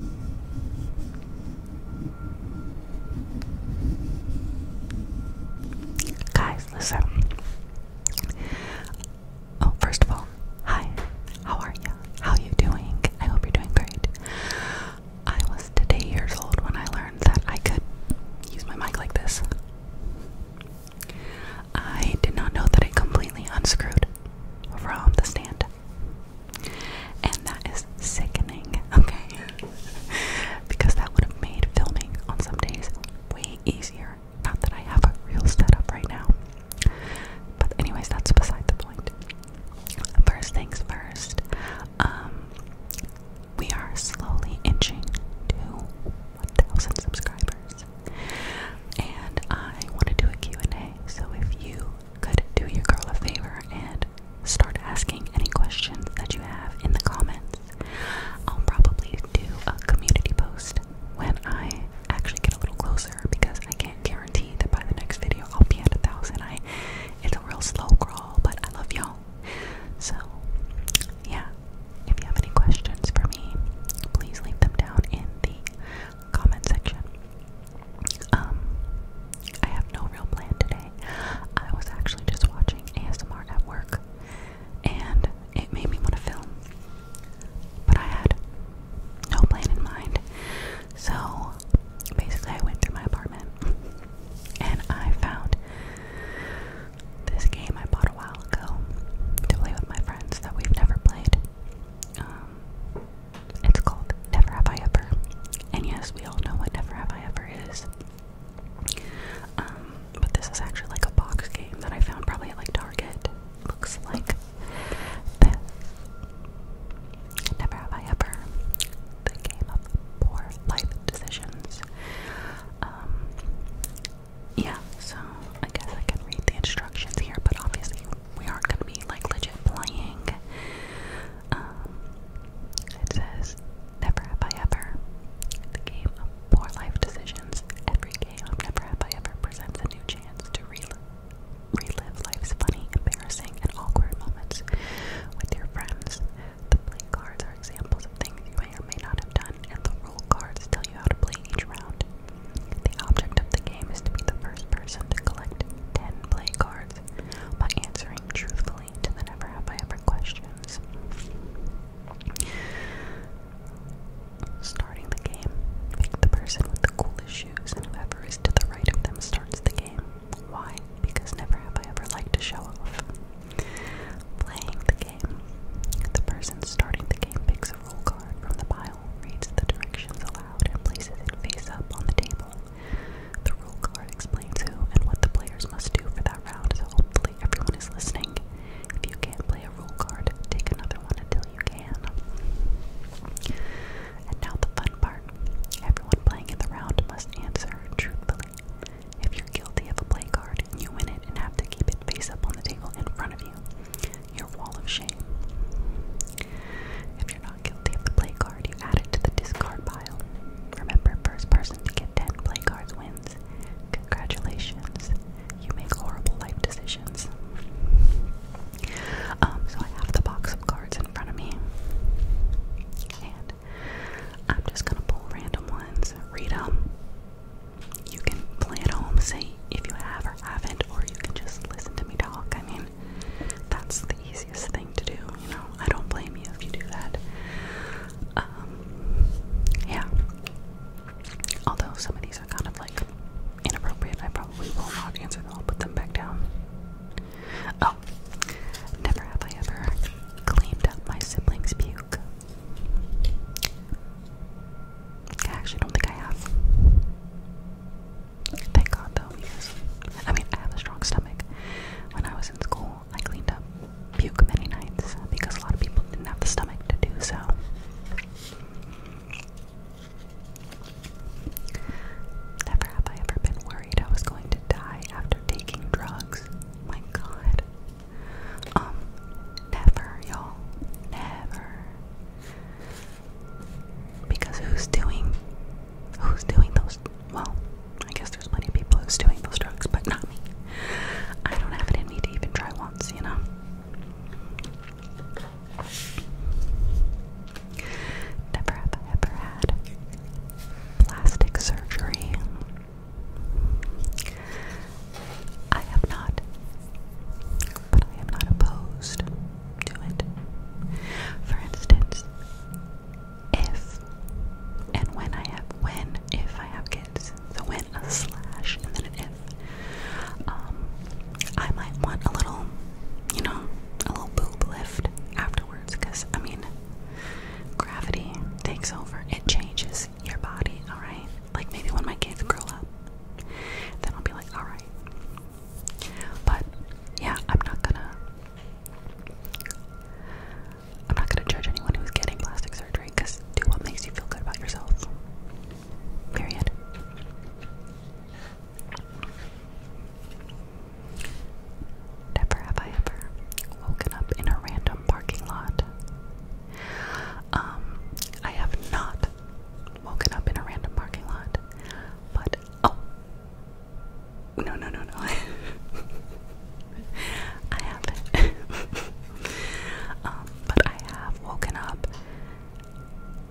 Guys, listen. Oh, first of all, hi. How are you? How you doing? I hope you're doing great. I was today years old when I learned that I could use my mic like this. I did not know that I completely unscrewed from the stand. And that is sickening, okay? because that would have made filming on some days way easier. Not that I have a real setup right now. But, anyways, that's beside the point. First things first, um, we are slowly inching to 1,000 subscribers. And I want to do a Q&A, so if you could do your girl a favor and start asking any questions that you have in the comments. I'll probably do a community post when I actually get a little closer because I can't guarantee that by the next video I'll be at a thousand. I it's a real slow crawl, but I love y'all. So yeah, if you have any questions for me, please leave them down in the comment section. Um, I have no real plan today. I was actually just watching ASMR at work and it made me want to film. But I had no plan in mind. So basically, I went through my apartment and I found this game I bought a while ago to play with my friends that we've never played. Um, it's called Never Have I Ever. And yes, we all know what Never Have I Ever is. Um, but this is actually like a box game that I found probably at like Target. Looks like this. Never Have I Ever. The game of poor life decisions. Um, yeah, so I guess I can read the instructions here, but obviously we aren't gonna be like legit playing. Um, it says, Never have I ever. The game of poor life decisions. Every game of Never Have I Ever presents a new chance to relive, relive life's funny, embarrassing, and awkward moments with your friends. The play cards are examples of things you may not have done, and the rule cards tell you how to play each round. The object of the game is to be the first person to collect 10 play cards by answering truthfully to the never have I ever questions. Starting the game, pick the person with the coolest shoes, and whoever is to the right of them starts the game. Why? Because never have I ever liked to show off. Playing the game, the person starting the game picks a roll card from the pile, reads the directions aloud, and places it face up on the table. The rule card explains who and what the players must do for that round, so hopefully everyone is listening. If you can't play a rule card, take another one until you can. And now the fun part. Everyone playing in the round must answer truthfully. If you're guilty of a play card, you win it and have to keep it face up on the table in front of you. Your wall of shame. If you're not guilty of the play card, you add to the discard pile. Remember, first person to get 10 play cards wins. Congratulations, you make horrible life decisions. Um, so I have the box of cards in front of me, and I'm just gonna pull random ones, read them. You can play at home, see if you have or haven't, or you can just listen to me talk. I mean, that's the easiest thing to do, you know. I don't blame you if you do that. Um, yeah. Although some of these are kind of like inappropriate, I probably will not answer them. I'll put them back down. Oh, never have I ever cleaned up my siblings' puke. I actually don't think I have. Thank God though, because I mean, I have a strong stomach. When I was in school, I cleaned up puke many nights because a lot of people didn't have the stomach to do so. Never have I ever been worried I was going to die after taking drugs. My God. Um, never, y'all. Never. Because who's doing who's doing those well, I guess there's plenty of people who's doing those drugs, but not me. I don't have it in me to even try once, you know. Never have I ever had plastic surgery. I have not, but I am not opposed to it. For instance, if and when I have when if I have kids, so when a slash and then an if, um, I might want a little, you know, a little boob lift afterwards, because I mean, gravity takes over; it changes your body. All right, like maybe when my kids grow up, then I'll be like, all right. But yeah, I'm not gonna I'm not going to judge anyone who's getting plastic surgery because do what makes you feel good about yourself. Period. Never have I ever woken up in a random parking lot. Um, I have not woken up in a random parking lot, but oh, no, no, no, no. I haven't. Um, but I have woken up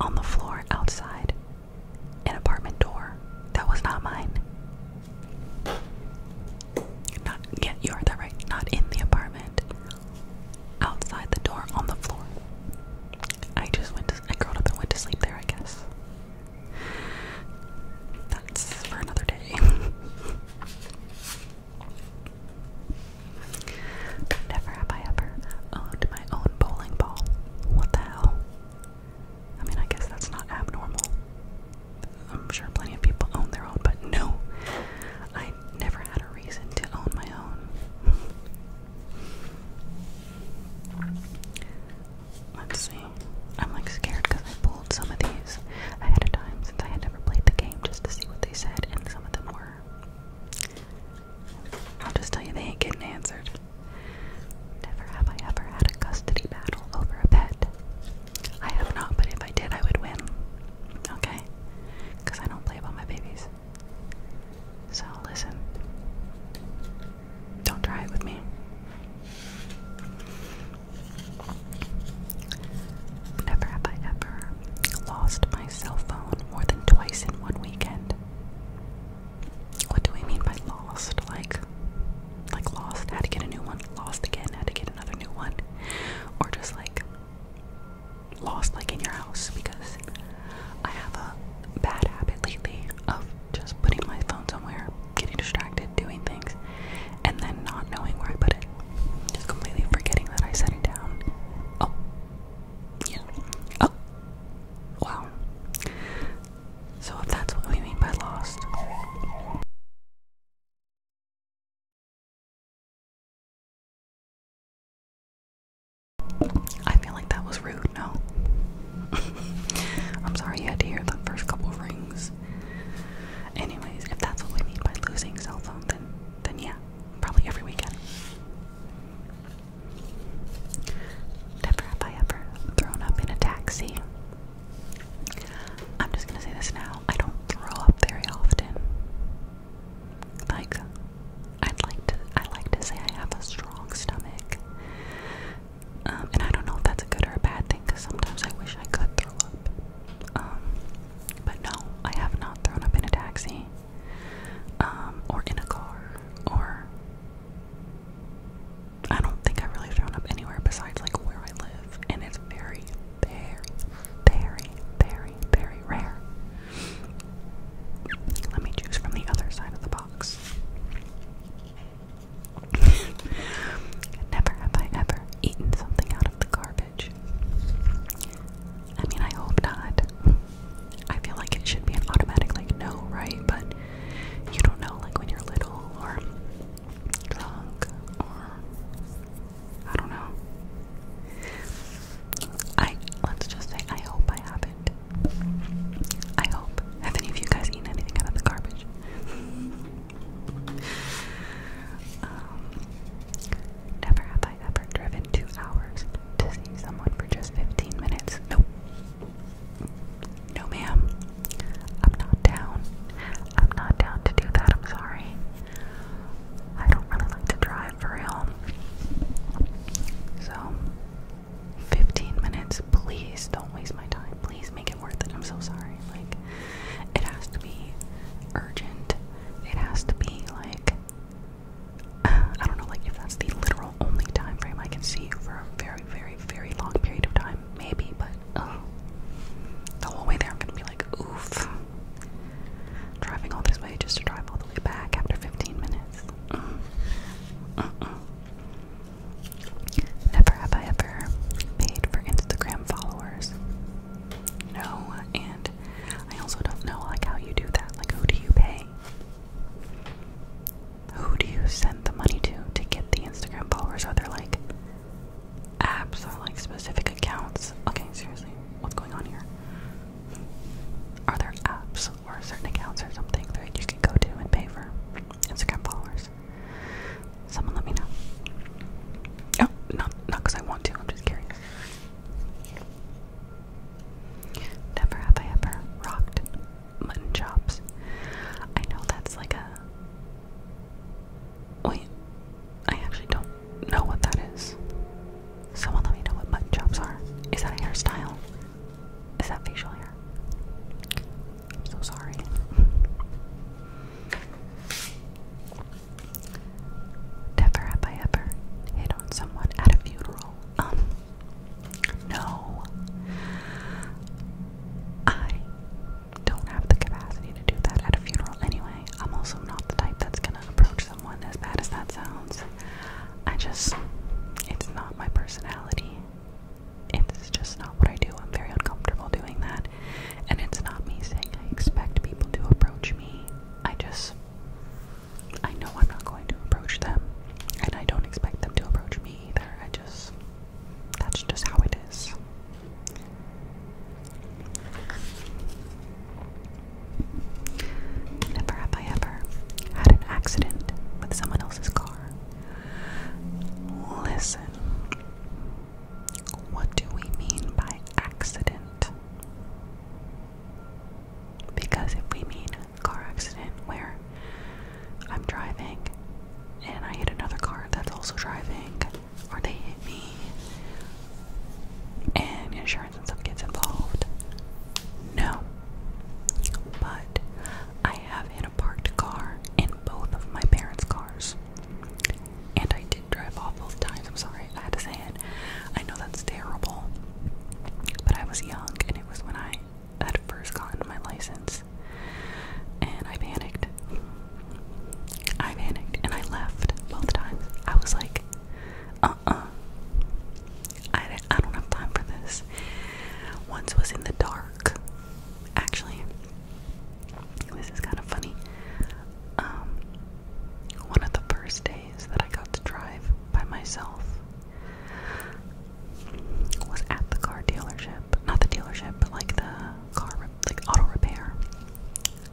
on the floor outside an apartment door that was not mine. Not yeah, you heard that right. Not in the apartment. Outside the door on the floor. I just went I curled up and went to sleep there, I guess. That's for another day. Never have I ever owned my own bowling ball. What the hell? I mean, I guess that's not abnormal. I'm sure plenty of people own their own, but no, I never had a reason to own my own. Let's see. I'm like scared because I pulled some of these I had a time since I had never played the game just to see what they said, and some of them were. I'll just tell you, they ain't getting answered. Never have I ever had a custody battle over a pet. I have not, but if I did, I would win. Okay? Because I don't play about my babies. So, listen. Don't try it with me. Never have I ever lost my cell phone more than twice in one weekend. What do we mean by lost? Like, like lost, had to get a new one, lost again, had to get another new one, or just like lost, like in your house? Because I have a bad habit lately of just putting my phone somewhere, getting distracted, doing things, and then not knowing where I put it. Just completely forgetting that I set it down. Oh. Yeah. Oh. Wow. So if that's what we mean by lost. I feel like that was rude do I'm sorry you had to hear the first couple rings. Anyways, if that's what we mean by losing cell phone, then then yeah, probably every weekend. Never have I ever thrown up in a taxi. I'm just gonna say this now. I don't throw up very often. Like I'd like to I like to say I have a strong stomach. Um, and I don't know if that's a good or a bad thing because sometimes I wish I could throw up. Um, but no, I have not thrown up in a taxi, um, or in a car, or I don't think i really thrown up anywhere besides like where I live, and it's very, very, very, very, very rare. Let me choose from the other side of the box. Never have I ever eaten something out of the garbage. I mean, I hope not. I feel like it should be an automatic, like, no, right? But you don't know, like, when you're little or drunk or I don't know. I let's just say I hope I haven't. I hope. Have any of you guys eaten anything out of the garbage? Um, never have I ever driven two hours to see someone for just 15 minutes. Nope. No, ma'am. I'm not down. I'm not down to do that. I'm sorry. I don't really like to drive for real. So, 15 minutes. Please don't waste my time. Please make it worth it. I'm so sorry. Like, it has to be urgent. It has to be like, I don't know, like if that's the literal only time frame I can see you for a very, very, very long period of time, maybe, but the whole way there I'm gonna be like, oof. Driving all this way just to drive all the way back after 15 minutes. Never have I ever paid for Instagram followers. No, and I also don't know like how you do that. Like who do you pay? Who do you send the money to to get the Instagram followers? Are there like apps or like specific accounts? Okay, seriously, what's going on here? Are there apps or certain accounts or something that you can go to and pay for Instagram followers. Someone let me know. Oh, not not because I want to. I'm just curious. Never have I ever rocked mutton chops. I know that's like a. Wait, I actually don't know what that is. Someone let me know what mutton chops are. Is that a hairstyle? Is that facial hair? I'm so sorry. Never have I ever hit on someone at a funeral. Um, no. I don't have the capacity to do that at a funeral anyway. I'm also not the type that's gonna approach someone as bad as that sounds. I just, it's not my personality it's just not what I do. I'm very uncomfortable doing that. And it's not me saying I expect people to approach me. I just, I know I'm not going to approach them. And I don't expect them to approach me either. I just, that's just how it is. Never have I ever had an accident with someone else's car. Listen. What do we mean by accident? Because if we mean car accident where I'm driving and I hit another car that's also driving, or they hit me and insurance and stuff gets involved, no. But I have parked car in both of my parents' cars. And I did drive off both times. I'm sorry, I had to say it. I know that's terrible. But I was young and it was when I had first gotten my license. And I panicked. I panicked and I left both times. I was like, uh uh. I, I don't have time for this. Once was in the dark Actually, this is kind of funny. Um, one of the first days that I got to drive by myself was at the car dealership. Not the dealership, but like the car, like auto repair.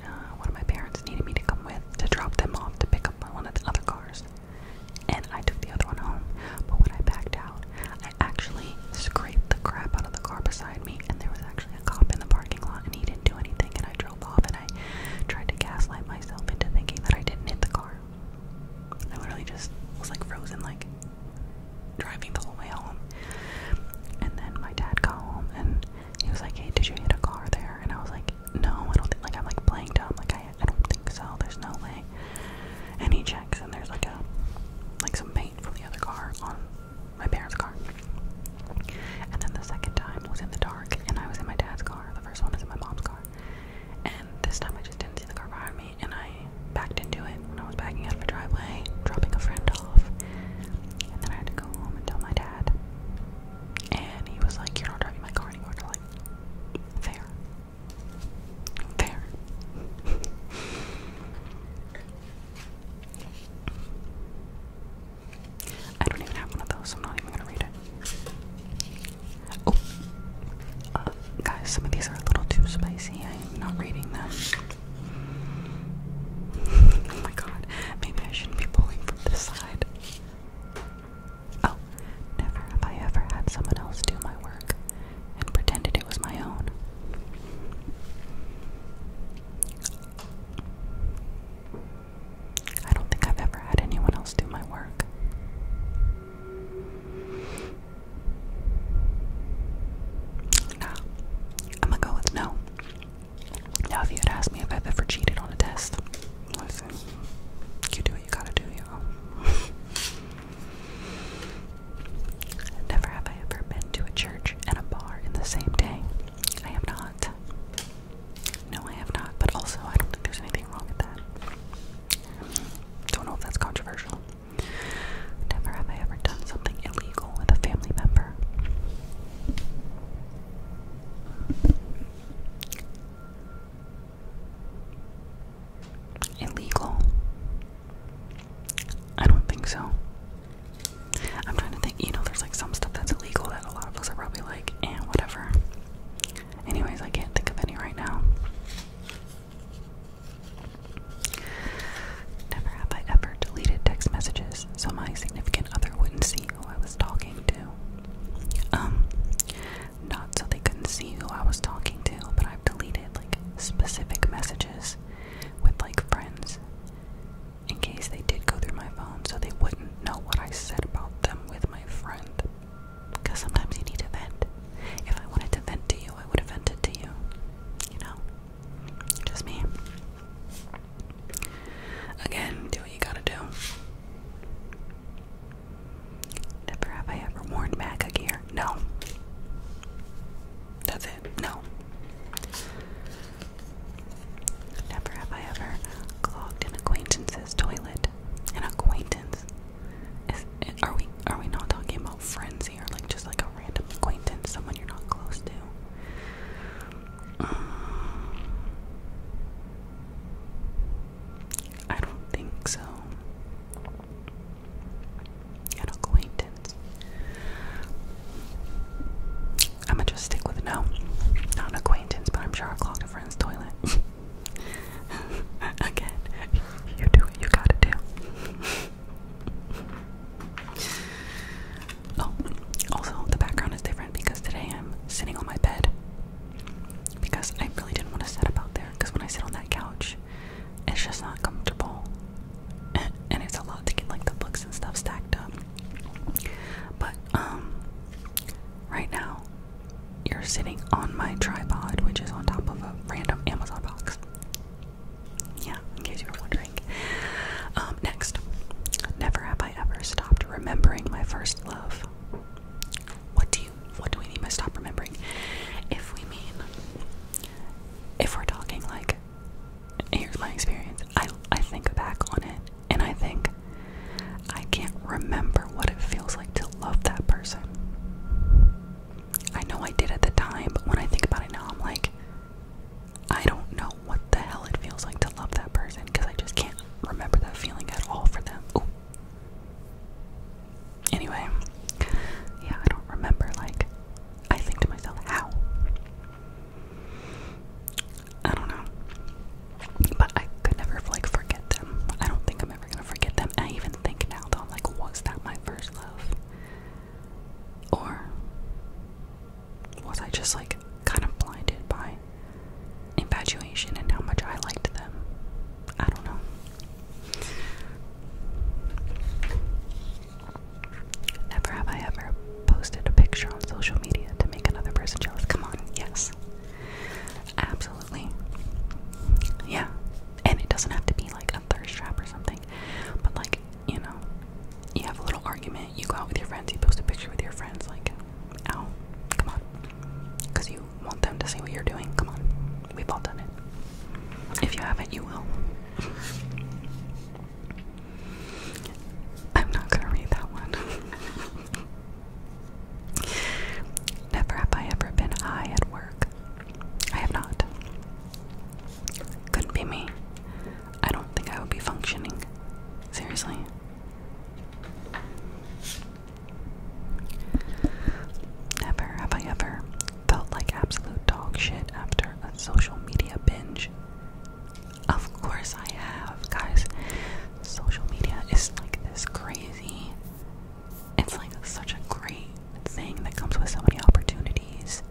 Uh, one of my parents needed me to come with to drop them off to pick up one of the other cars and I took the other one home. But when I backed out, I actually scraped the crap out of the car beside me, and there was actually a cop in the parking lot, and he didn't do anything. And I drove off, and I tried to gaslight myself into thinking that I didn't hit the car. I literally just was like frozen, like driving the whole way home. And then my dad got home, and he was like, "Hey, did you hit a car there?" And I was like, "No, I don't think." Like I'm like playing dumb, like I I don't think so. There's no way. And he checks, and there's like a like some paint from the other car on my parents' car. And then the second time was in the dark, and I was in my dad's car. The first one was in my mom's car. And this time I just didn't see the car behind me, and I backed into it when I was backing out of a driveway, dropping a friend off. And then I had to go home and tell my dad. And he was like, You're not driving my car anymore. And I'm like, Fair. There. I don't even have one of those, so I'm not even gonna read it. Oh, uh, guys, some of these are a little too spicy. I am not reading them. oh my god, maybe I shouldn't be pulling from this side. Oh, never have I ever had someone else do my work and pretended it was my own. I don't think I've ever had anyone else do my work. Nah, I'm gonna go with no. Now, if you had asked me if I've ever cheated on a test, you do what you gotta do, y'all. Never have I ever been to a church and a bar in the same day. I have not. No, I have not. But also, I don't think there's anything wrong with that. Don't know if that's controversial. Never have I ever done something illegal with a family member illegal? I don't think so. I'm trying to think, you know, there's like some stuff that's illegal that a lot of us are probably like, and eh, whatever. Anyways, I can't think of any right now. Never have I ever deleted text messages so my significant other wouldn't see who I was talking to. Um, not so they couldn't see who I was talking to, but I've deleted like specific messages with like friends in case they did go through my phone so they wouldn't know what I said about them with my friend. Because sometimes you need to vent. If I wanted to vent to you, I would have vented to you. You know? Just me. Again, do what you gotta do. Never have I ever worn MAGA gear. No. That's it. No. Never have I ever clogged an acquaintance's toilet. An acquaintance. are we are we not talking about friends here? Like just like a random acquaintance, someone you're not close to. I don't think so an acquaintance. I'm gonna just stick with no, not an acquaintance, but I'm sure I clogged a friend's toilet. Again, you do what you gotta do. oh, also, the background is different because today I'm sitting on my bed because I really didn't want to sit up out there because when I sit on that couch, it's just not comfortable and it's a lot to get like the books and stuff stacked up but um right now you're sitting on my tripod which is on top of a random amazon box yeah in case you were wondering um next never have i ever stopped remembering my first love what do you what do we mean by stop remembering? If we mean, if we're talking like, here's my experience, I, I think back on it and I think, I can't remember what it feels like to love that person. I know I did at the time, but when I think about it now, I'm like, I don't know what the hell it feels like to love that person because I just can't remember that feeling at all for them. Anyway, yeah, I don't remember. Like, I think to myself, how? I don't know. But I could never, like, forget them. I don't think I'm ever gonna forget them. I even think now, though, I'm like, was that my first love? Or was I just, like, kind of blinded by infatuation and how much I liked them? I don't know. Never have I ever posted a picture on social media to make another person jealous. Come on, yes. Absolutely. Yeah. And it doesn't have to be like a thirst trap or something. But like, you know, you have a little argument, you go out with your friends, you post a picture with your friends, like, ow, come on. Because you want them to see what you're doing, come on. We've all done it. If you haven't, you will. I'm not gonna read that one. Never have I ever been high at work. I have not. Couldn't be me. I don't think I would be functioning. Seriously. Never have I ever felt like absolute dogshit after a social media binge. Of course, I have, guys. Social media is like this crazy, it's like such a great thing that comes with so many opportunities.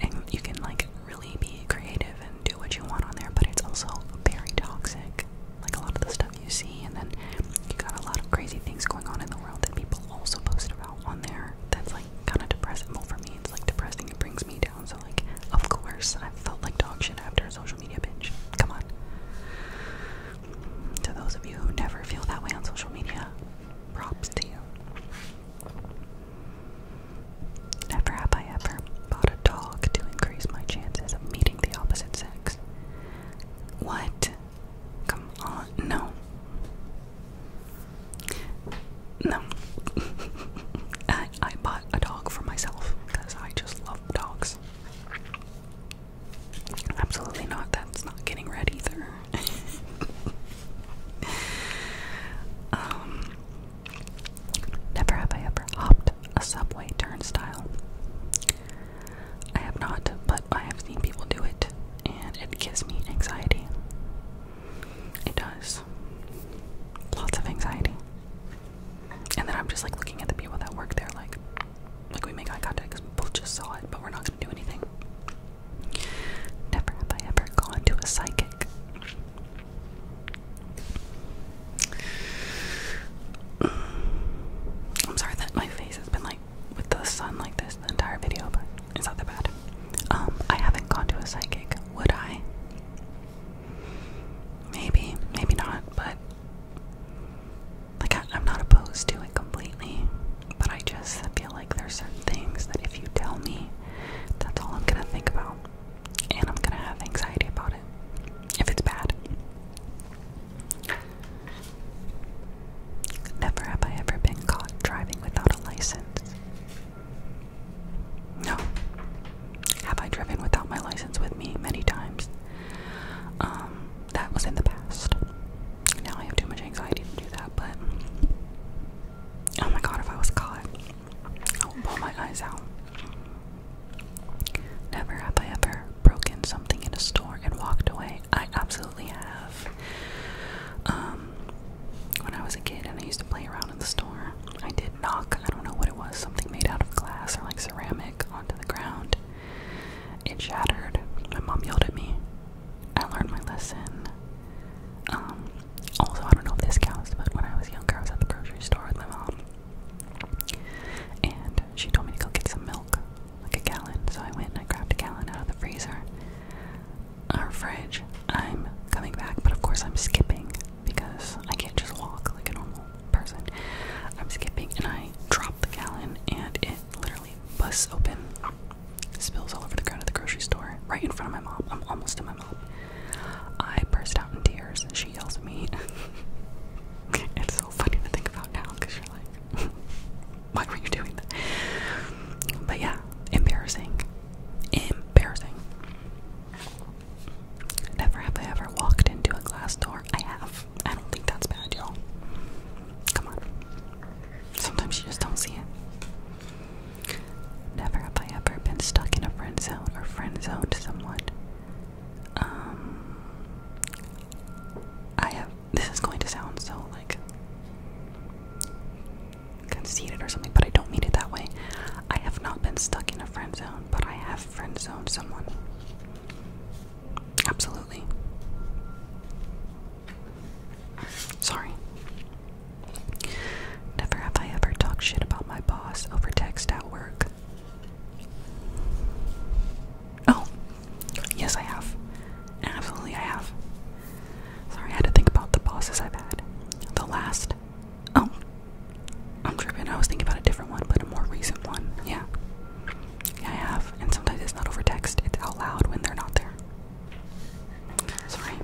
And you can like really be creative and do what you want on there, but it's also very toxic. Like a lot of the stuff you see, and then you got a lot of crazy things going on in the world that people also post about on there that's like kind of depressing. for me, it's like depressing. It brings me down. So like, of course, I felt like dog shit after social media binge. Come on. To those of you who never feel that way on social media, props to you. Never have I ever bought a dog to increase my chances of meeting the opposite sex. What? Come on, no. No. I, I bought a dog for myself because I just love dogs. Absolutely not. That's not getting red either. um, never have I ever hopped a subway turnstile. I have not, but I have seen people do it, and it gives me anxiety. It does. Lots of anxiety. And then I'm just like looking at the people that work there, like, like we make eye contact because we both just saw it, but we're not gonna do anything. Never have I ever gone to a psychic. I'm sorry that my face has been like with the sun like this the entire video, but it's not that bad. Um, I haven't gone to a psychic. Would I? Maybe, maybe not, but like I, I'm not opposed to it completely. But I just feel like there's certain things that if you tell me, that's all I'm gonna think about, and I'm gonna have anxiety about it if it's bad. Never have I ever been caught driving without a license. No. Have I driven without my license with me many times? Um, that was in the past. Now I have too much anxiety to do that, but. Oh my god, if I was caught, I would pull my eyes out. Never have I ever broken something in a store and walked away. I absolutely absolutely have. Um, when I was a kid and I used to play around in the store, I did knock, I don't know what it was, something made out of glass or like ceramic onto the ground. It shattered. My mom yelled at me. I learned my lesson. Um, also, I don't know if this counts, but when I was younger, I was at the grocery store with my mom. And she told me to go get some milk like a gallon. So I went and I grabbed a gallon out of the freezer Our fridge. I'm coming back, but of course I'm skipping because I can't just walk like a normal person. I'm skipping and I drop the gallon and it literally busts open, spills all over the ground at the grocery store, right in front of my mom. I'm almost to my mom. I burst out in tears and she yells at me. it's so funny to think about now because you're like, Why were you doing that? But yeah, embarrassing. Embarrassing. Never have I ever walked into a glass door. I have. I don't think that's bad, y'all. Come on. Sometimes you just don't see it. Never have I ever been stuck in a friend zone or friend zoned someone. Um, I have this is going to sound so like conceited or something, but I don't mean it that way. I have not been stuck in a friend zone, but I have friend zoned someone. Absolutely. Sorry. Never have I ever talked shit about my boss over text at work. Oh, yes, I have. Absolutely, I have. Sorry, I had to think about the bosses I've had. The last. Oh, I'm tripping. I was thinking about a different one, but a more recent one. Yeah. Yeah, I have. And sometimes it's not over text, it's out loud when they're not there. Sorry.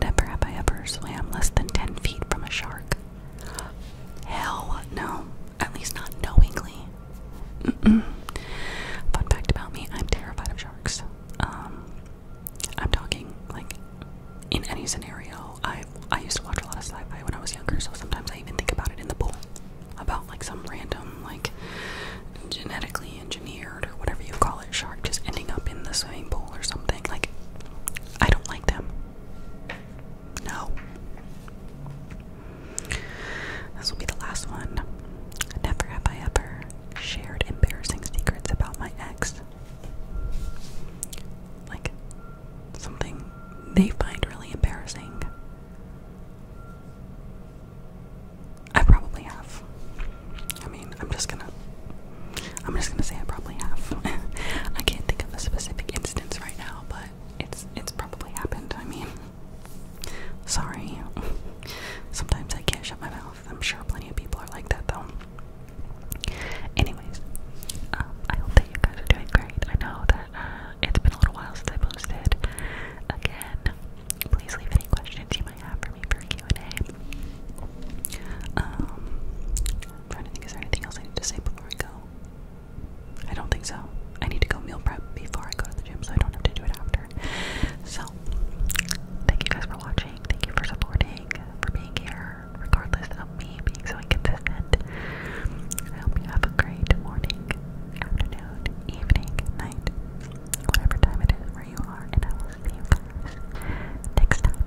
Never have I ever swam less than 10 feet from a shark. Hell no. At least not knowingly. Fun fact about me, I'm terrified of sharks. Um, I'm talking like in any scenario. I I used to watch a lot of sci-fi when I was younger, so sometimes I even think about it in the pool, about like some random like genetically engineered or whatever you call it shark just ending up in the swimming pool or something. Like I don't like them. No. This will be the last one. Never have I ever shared embarrassing secrets about my ex. Like something they find really embarrassing. I probably have. I mean, I'm just gonna I'm just gonna say I probably have. I can't think of a specific instance right now, but it's it's probably happened. I mean, sorry. Sometimes I can't shut my mouth. I'm sure plenty of people are like that though. Anyways, um, I hope that you guys are doing great. I know that uh, it's been a little while since I posted. Again, please leave any questions you might have for me for Q and A. Um, I'm trying to anything else I need to say before I go? I don't think so. I need to go meal prep before I go to the gym so I don't have to do it after. So, thank you guys for watching. Thank you for supporting, for being here, regardless of me being so inconsistent. I hope you have a great morning, afternoon, evening, night, whatever time it is where you are, and I will see you next time.